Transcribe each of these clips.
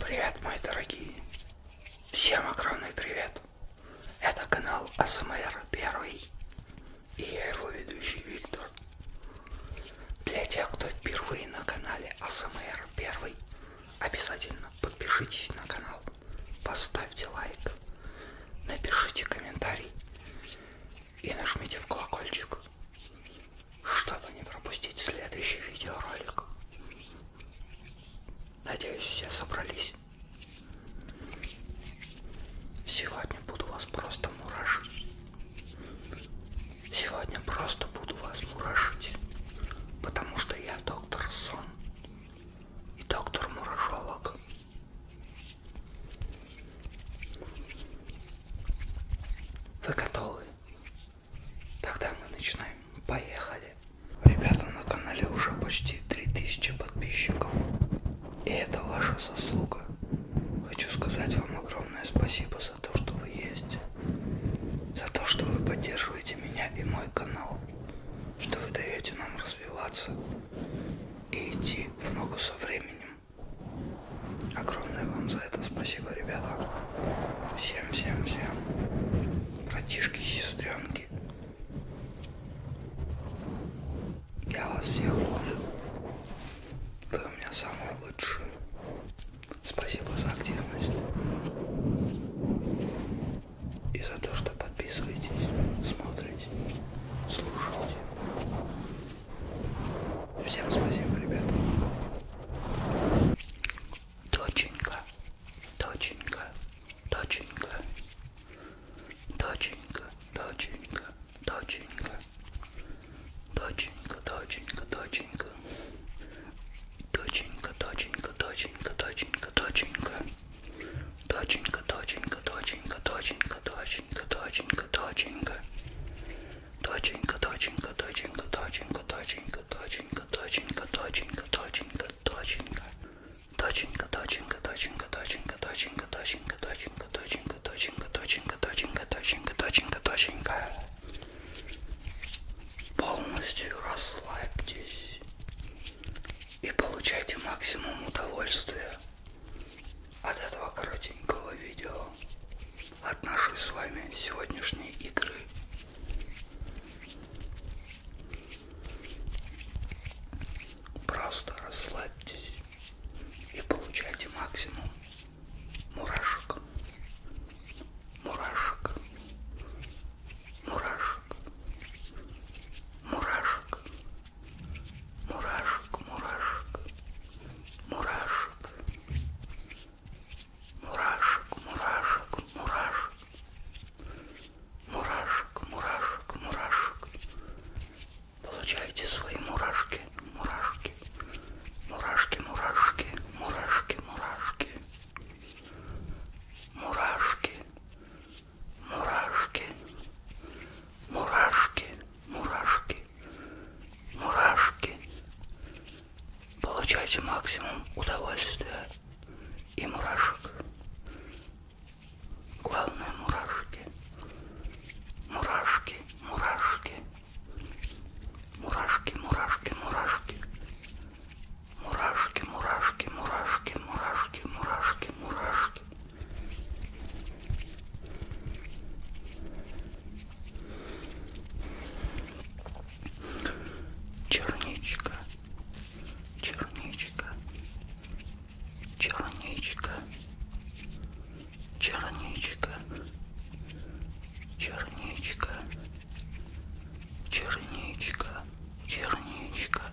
Привет, мои дорогие! Всем огромный привет! Это канал АСМР Первый и я его ведущий Виктор. Для тех, кто впервые на канале АСМР Первый, обязательно подпишитесь на канал, поставьте лайк, напишите комментарий и нажмите в колокольчик чтобы не пропустить следующий видеоролик. Надеюсь, все собрались. Сегодня буду вас просто мурашить. Сегодня просто буду вас мурашить, потому что я доктор Сон и доктор Мурашолог. Вы готовы Тогда мы начинаем. Поехали. Ребята, на канале уже почти 3000 подписчиков. И это ваша заслуга. Хочу сказать вам огромное спасибо за то, что вы есть. За то, что вы поддерживаете меня и мой канал. Что вы даете нам развиваться и идти в ногу со временем. Огромное вам за это спасибо, ребята. Всем, всем, всем. Братишки, сестренки. Я вас всех люблю. Вы у меня самые лучшие. Спасибо за активность. И за то, что подписываетесь, смотрите, слушаете. Всем спасибо, ребята. Доченька, доченька, доченька, доченька, доченька, доченька, доченька, доченька, доченька, доченька, доченька, доченька, доченька, доченька, доченька, доченька, доченька, доченька, доченька доченька, доченька, доченька. Доченька, доченька, доченька, доченька, доченька, доченька, доченька, доченька, доченька, доченька. Доченька, доченька, доченька, доченька, доченька, доченька, доченька, доченька, доченька, доченька, доченька, доченька, доченька, доченька. Полностью расслабьтесь и получайте максимум удовольствия от этого коротенького видео, от нашей с вами сегодняшней игры. Просто расслабьтесь и получайте максимум мурашек, мурашек, мурашек, мурашек, мурашек, мурашек, мурашек, мурашек, мурашек, мурашек, мурашек, мурашек, мурашек. Получайте свои мурашки, мурашки, мурашки, мурашки, мурашки, мурашки, мурашки, мурашки, мурашки, мурашки мурашки. Получайте максимум удовольствия и мурашек. Главное мурашки. Мурашки, мурашки. Мурашки, мурашки, мурашки. Мурашки, мурашки, мурашки, мурашки, мурашки, мурашки черничка, черничка, черничка, черничка, черничка, черничка, черничка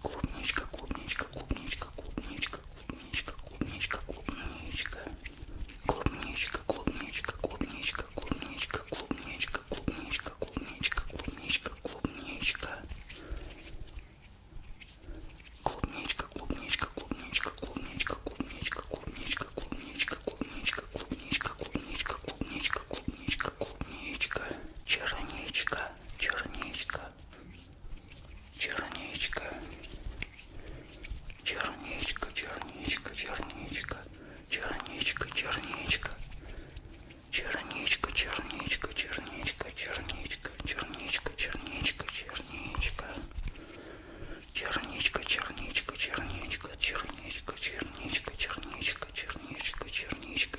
Клубничка, клубничка, клубничка, клубничка, клубничка, клубничка, клубничка. Клубничка, клубничка, клубничка, клубничка, клубничка, клубничка, клубничка, клубничка, клубничка. Клубничка, клубничка, клубничка, клубничка, клубничка, клубничка, клубничка, клубничка, клубничка, клубничка, клубничка, клубничка, клубничка клубничка, клубничка, черничка, черничка, черничка, черничка, черничка, черничка, черничка, черничка, черничка, черничка, черничка, черничка, черничка, черничка, черничка, черничка. Черничка, черничка, черничка, черничка, черничка, черничка, черничка, черничка,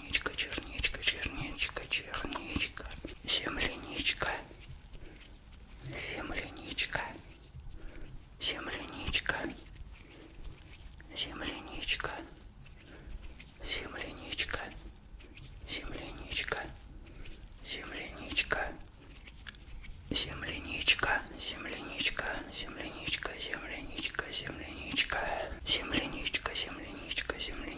черничка, черничка, черничка, черничка, земляничка, земляничка, земляничка, земляничка, земляничка, земляничка, земляничка, земляничка, земляничка, земляничка, земляничка, земляничка, земляничка, земляничка, земляничка.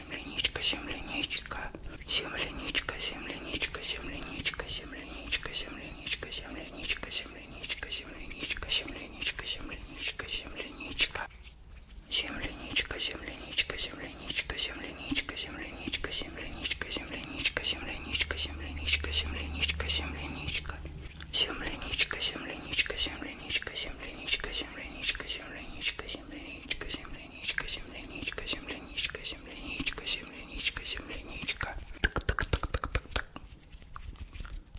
земляничка, земляничка, земляничка, земляничка, земляничка, земляничка, земляничка, земляничка, земляничка, земляничка, земляничка, земляничка, земляничка. Земляничка, земляничка, земляничка, земляничка, земляничка, земляничка, земляничка, земляничка, земляничка, земляничка, земляничка. Земляничка, земляничка, земляничка, земляничка, земляничка, земляничка, земляничка, земляничка, земляничка, земляничка, земляничка, земляничка, земляничка. Так, так, так, так, так, так.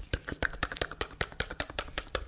Так, так, так, так, так, так, так, так, так, так, так.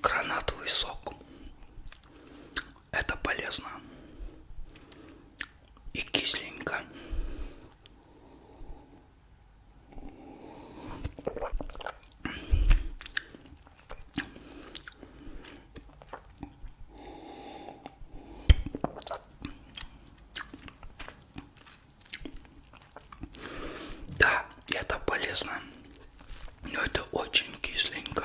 Гранатовый сок. Это полезно. И кисленько. Да, это полезно, но это очень кисленько.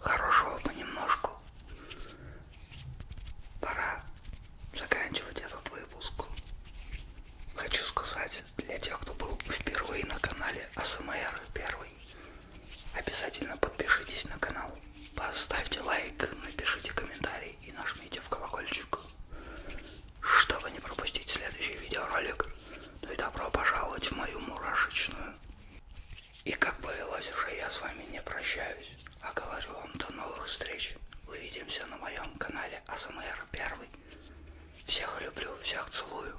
Хорошего понемножку. Пора заканчивать этот выпуск. Хочу сказать для тех, кто был впервые на канале АСМР первый, обязательно подпишитесь на канал, поставьте лайк, напишите комментарий и нажмите в колокольчик. Чтобы не пропустить следующий видеоролик, ну и добро пожаловать в мою мурашечную. И как повелось уже, я с вами не прощаюсь, а говорю вам до новых встреч. Увидимся на моем канале АСМР Первый. Всех люблю, всех целую.